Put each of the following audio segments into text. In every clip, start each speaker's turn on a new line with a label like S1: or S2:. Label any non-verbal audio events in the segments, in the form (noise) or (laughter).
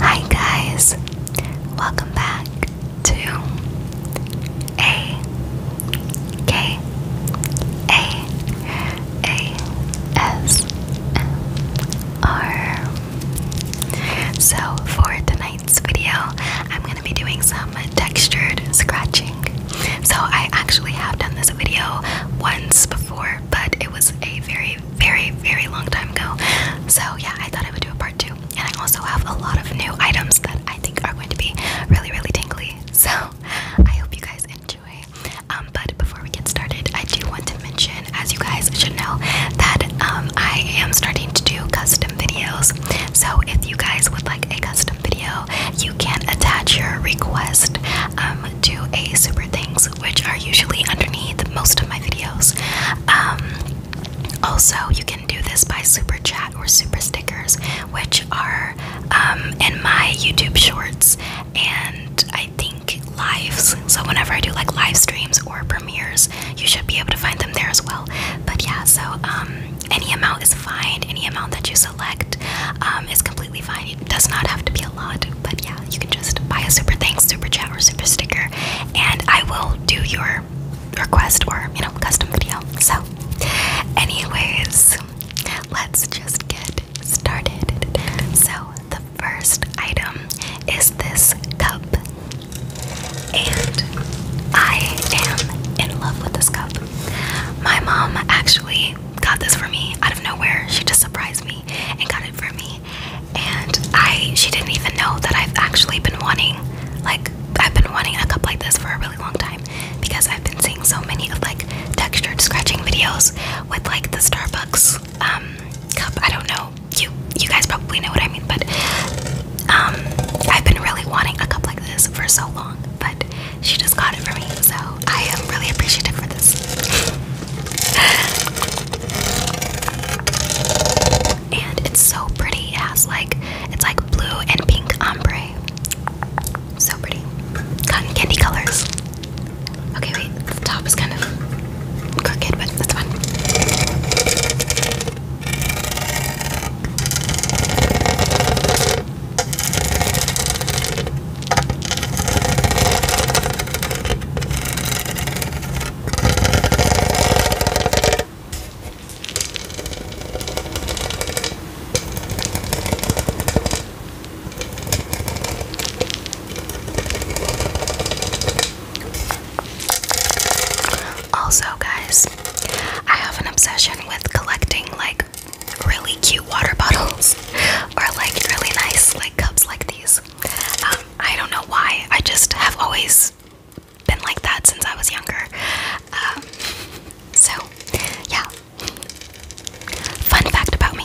S1: Hi, guys, welcome back to A K A A S M R. So, for tonight's video, I'm going to be doing some textured scratching. So, I actually have done this video once before, but it was a very, very, very long time ago. So yeah, I thought I would do a part two. And I also have a lot of new items that I think are going to be really, really tingly. So I hope you guys enjoy. Um, but before we get started, I do want to mention, as you guys should know, that um, I am starting to do custom videos. So if you guys would like a custom video, you can attach your request um, do a super things, which are usually underneath most of my videos. Um, also, you can do this by super chat or super stickers, which are um, in my YouTube shorts and I think lives. So, whenever I do like live streams or premieres, you should be able to find them there as well. But yeah, so um, any amount is fine, any amount that you select is completely it does not have to be a lot, but yeah, you can just buy a super thanks, super chat, or super sticker, and I will do your request or you know custom video. So, anyways, let's just get started. So the first item is this cup, and I am in love with this cup. My mom actually got this for me out of nowhere. She just surprised me and got it for me. And I she didn't even know that I've actually been wanting like I've been wanting a cup like this for a really long time because I've been seeing so many of like textured scratching videos with like the Starbucks um cup. I don't know. You you guys probably know what I mean, but um I've been really wanting a cup like this for so long, but she just got it for me, so I am really appreciative for this. and it's so pretty. It has like it's like blue and pink ombre. So pretty. Cotton candy colors. Okay, wait, the top is kind of crooked, but that's fine. Also, guys, I have an obsession with collecting like really cute water (laughs) bottles or like really nice like cups like these. Um, I don't know why. I just have always been like that since I was younger. Um, so, yeah. Fun fact about me.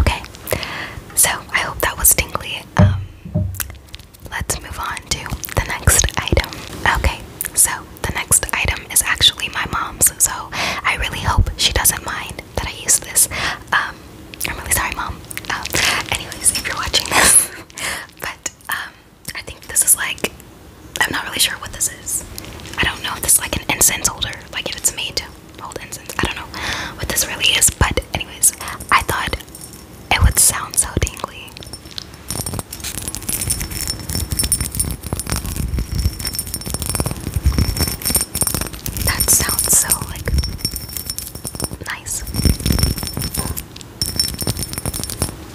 S1: Okay, so I hope that was tingly. Um, let's move on to the next item. Okay, so the next item is actually my mom's, so I really hope she doesn't mind that I use this. Um, I'm really sorry, mom. Um, anyways, if you're watching this, (laughs) but I think this is like I'm not really sure what this is. I don't know if this is like an incense holder, like if it's made to hold incense. I don't know what this really is, but anyways, I thought it would sound so tingly. That sounds so like nice.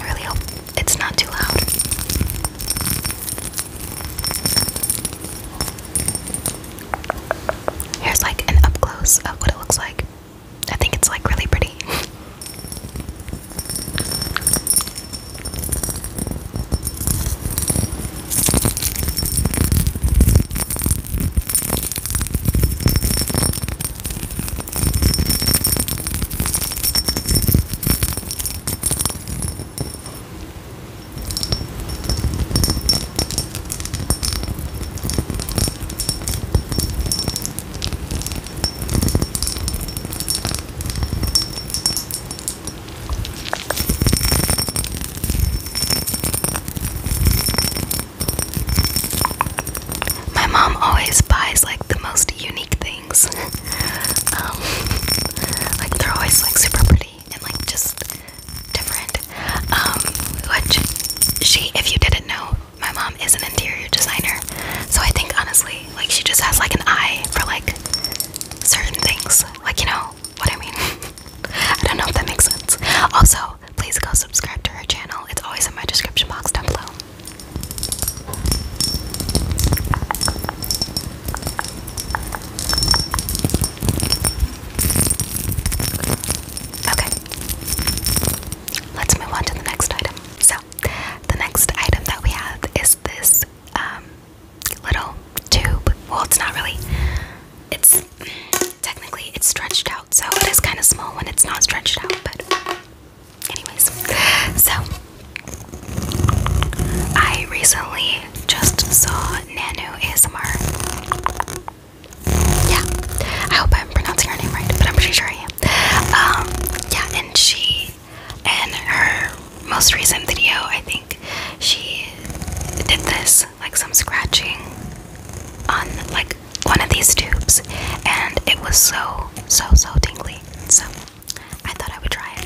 S1: I really hope it's not too loud. Here's like an up close of what it looks like. I think it's like really pretty. My mom always buys like the most unique things. (laughs) Um, like they're always like super pretty and like just different. Um, which she, if you didn't know, my mom is an interior designer, so I think honestly, like she just has like an eye for like certain things. Like you know what I mean? (laughs) I don't know if that makes sense. Also, please go subscribe to her channel. It's always in my description box down below. Okay. Let's move on to the next item. So, the next item that we have is this um, little tube. Well, it's not really. It's technically it's stretched out, so it is kind of small when it's not stretched out. But, anyways, so I recently just saw Nanu ASMR. Yeah, I hope I'm pronouncing her name right, but I'm pretty sure I am. Um, yeah, and she, and her most recent video, I think she did this like some scratching on like one of these tubes, and it was so so so tingly. So I thought I would try it.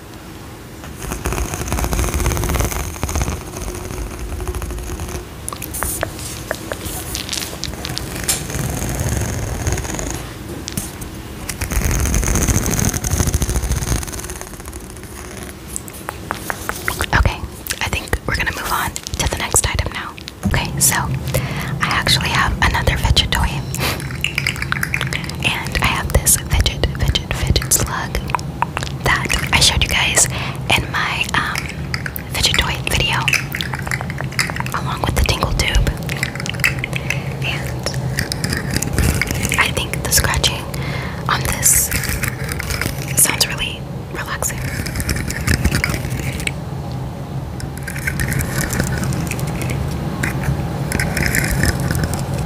S1: Okay, I think we're gonna move on to the next item now. Okay, so I actually have another fidget toy, (laughs) and I have this fidget, fidget, fidget slug that I showed you guys in my um, fidget video, along with the tingle tube. And I think the scratching on this sounds really relaxing.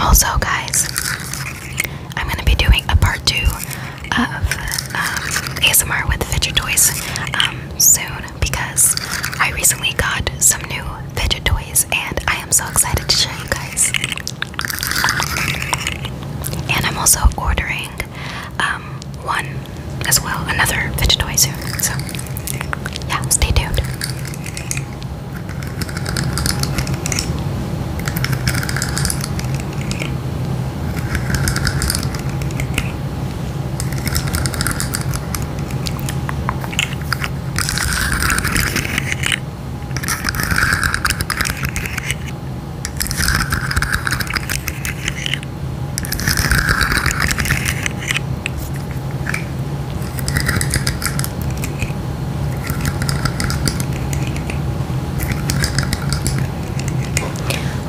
S1: Also, guys, I'm going to be doing a part two of um, ASMR with fidget toys um, soon because I recently got some new fidget toys and I am so excited to show you guys. And I'm also ordering um, one as well, another fidget toy soon. So, yeah, stay tuned.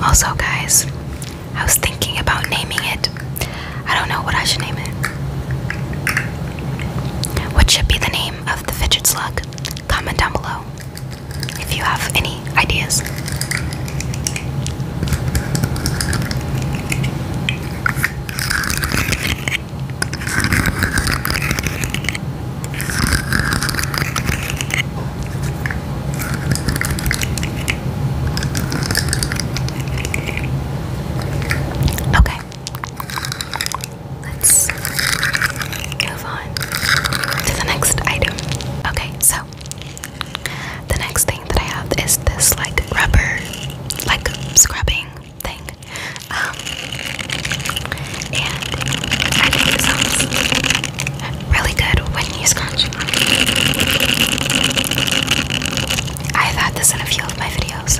S1: Also, guys, I was thinking about naming it. I don't know what I should name it. What should be the name of the fidgets slug? Comment down below if you have any ideas. Okay. Let's move on to the next item. Okay, so the next thing that I have is this like rubber, like scrubbing thing. Um, and I think it sounds really good when you scratch. I've had this in a few of my videos.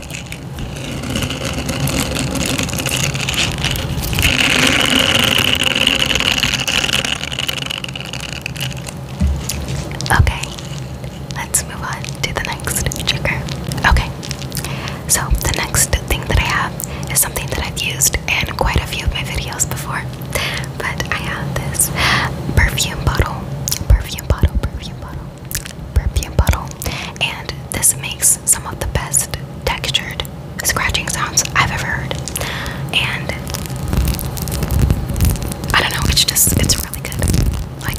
S1: Okay, let's move on to the next trigger. Okay, so the next thing that I have is something that I've used in quite a few of my videos before, but I have this perfume bottle, perfume bottle, perfume bottle perfume bottle, and this makes some of the best textured scratching sounds I've ever heard. And I don't know, it's just it's really good. Like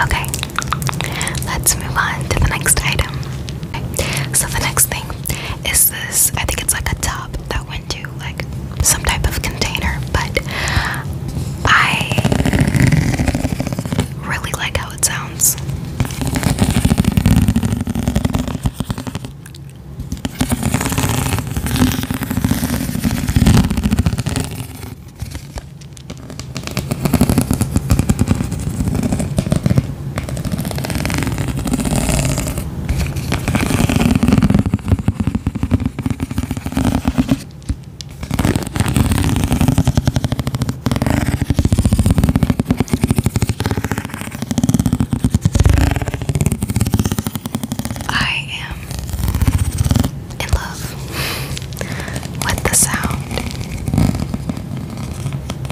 S1: Okay, let's move on to the next item. So, the next thing is this I think it's like a tub that went to like some type of container, but I really like how it sounds. I am in love with the sound Okay,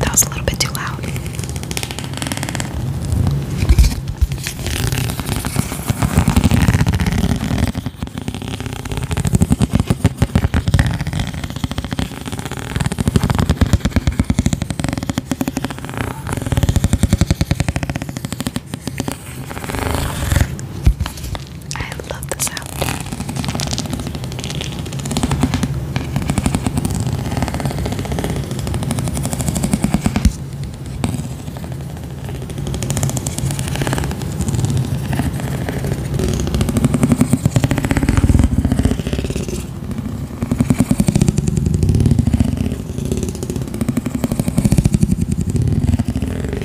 S1: that was a little bit too loud. I love the sound.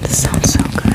S1: This sounds so good.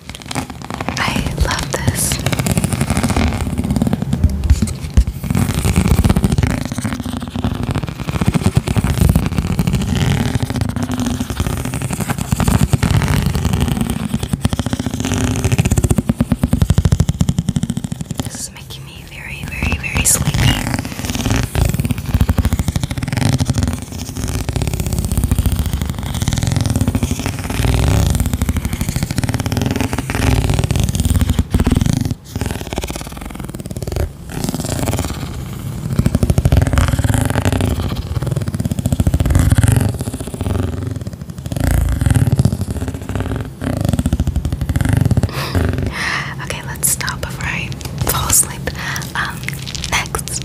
S1: I love this. This is making me very, very, very sleepy. (laughs) okay, let's stop before I fall asleep. Um, next,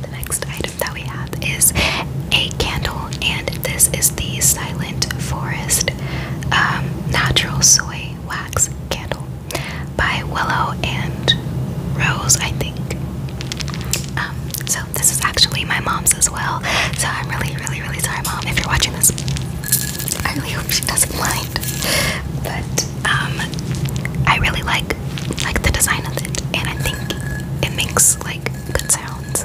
S1: the next item that we have is a candle, and this is the Silent Forest um, Natural Soy Wax Candle by Willow and Rose, I think. Um, so, this is actually my mom's as well. So, I'm really, really, really sorry, mom, if you're watching this. I really hope she doesn't mind. But, um, I really like like the design of it, and I think it makes like good sounds.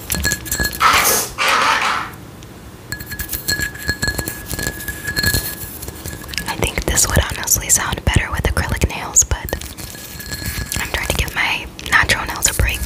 S1: I think this would honestly sound better with acrylic nails, but I'm trying to give my natural nails a break.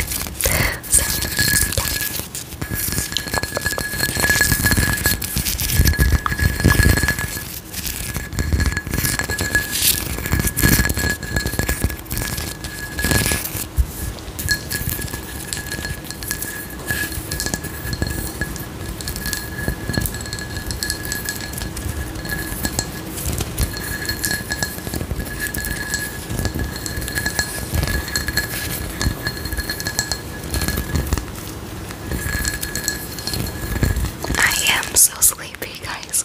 S1: I am so sleepy, guys.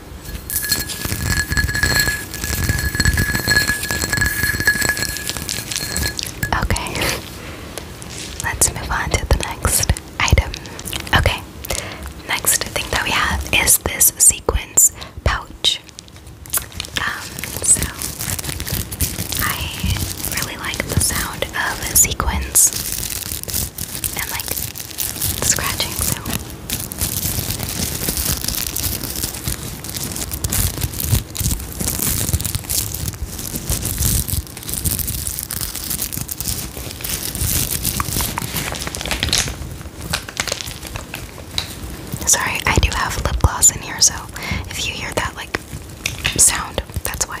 S1: Okay, let's move on to the next item. Okay, next thing that we have is this sequence pouch. Um, so I really like the sound of a and like scratching Sorry, I do have lip gloss in here, so if you hear that like sound, that's why.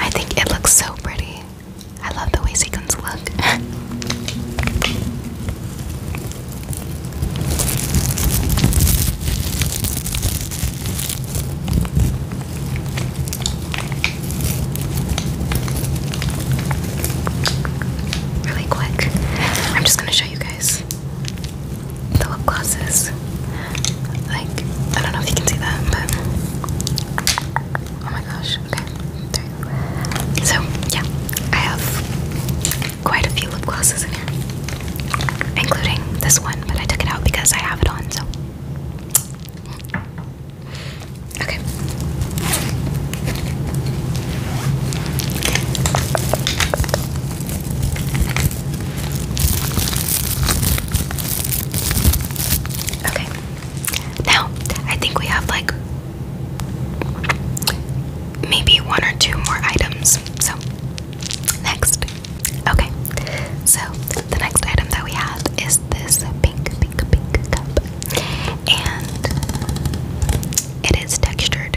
S1: I think it looks so pretty. I love the way sequins look. (laughs) really quick. I'm just going to show you guys. The lip glosses. Like, I don't know if you can see that, but. Oh my gosh, okay. So, yeah, I have quite a few lip glosses in here, including this one, but I took it out because I have it on, so. Okay. Okay. Now, I think we have like maybe one or two more items. So, next. Okay. So, the next item that we have is this pink, pink, pink cup. And it is textured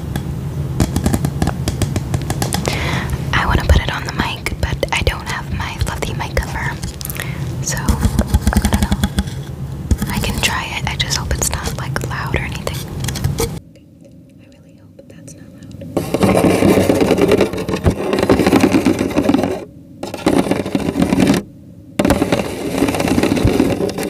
S1: I want to put it on the mic, but I don't have my fluffy mic cover. So, I don't know. I can try it. I just hope it's not like loud or anything. I really hope that's not loud.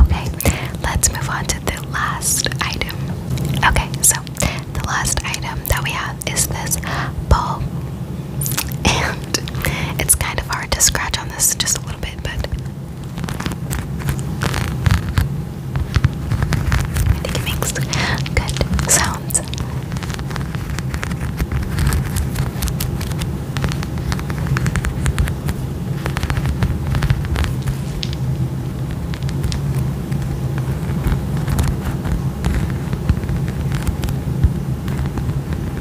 S1: Okay, let's move on to the last item. Okay, so the last item that we have is this ball and it's kind of hard to scratch on this just a little bit, but I think it makes good sounds.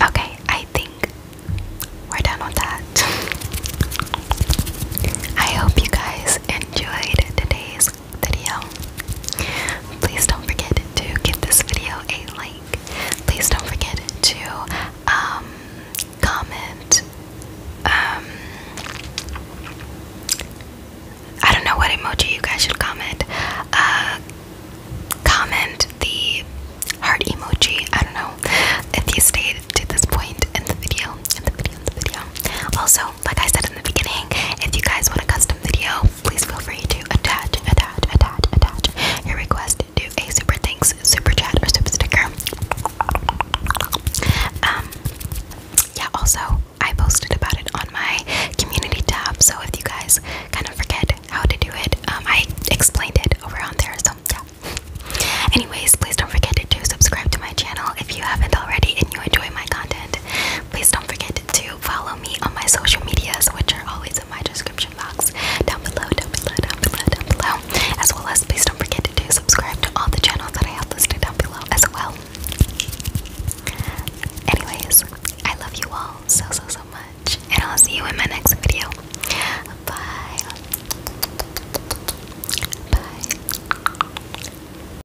S1: Okay, I think we're done with that. (laughs) I hope you guys enjoyed today's video. Please don't forget to give this video a like. Please don't forget to um, comment. Um, I don't know what emoji you guys should comment. Uh, comment the heart emoji. I don't know if you stayed to this point in the video. in the video. Also, like I said in the beginning, if you guys want a custom video, please feel free to attach, attach, attach, attach your request to a super thanks, super chat, or super sticker. Um, yeah, also, I posted about it on my community tab, so if you guys kind of forget how to do it, um, I explained it over on there, so yeah. Anyways, please don't forget to subscribe to my channel if you haven't already and you enjoy my content. Please don't forget to follow me on my social medias, which are always in my description box down below, down below, down below, down below. As well as please don't forget to subscribe to all the channels that I have listed down below as well. Anyways, I love you all so so so much, and I'll see you in my next video. Bye. Bye.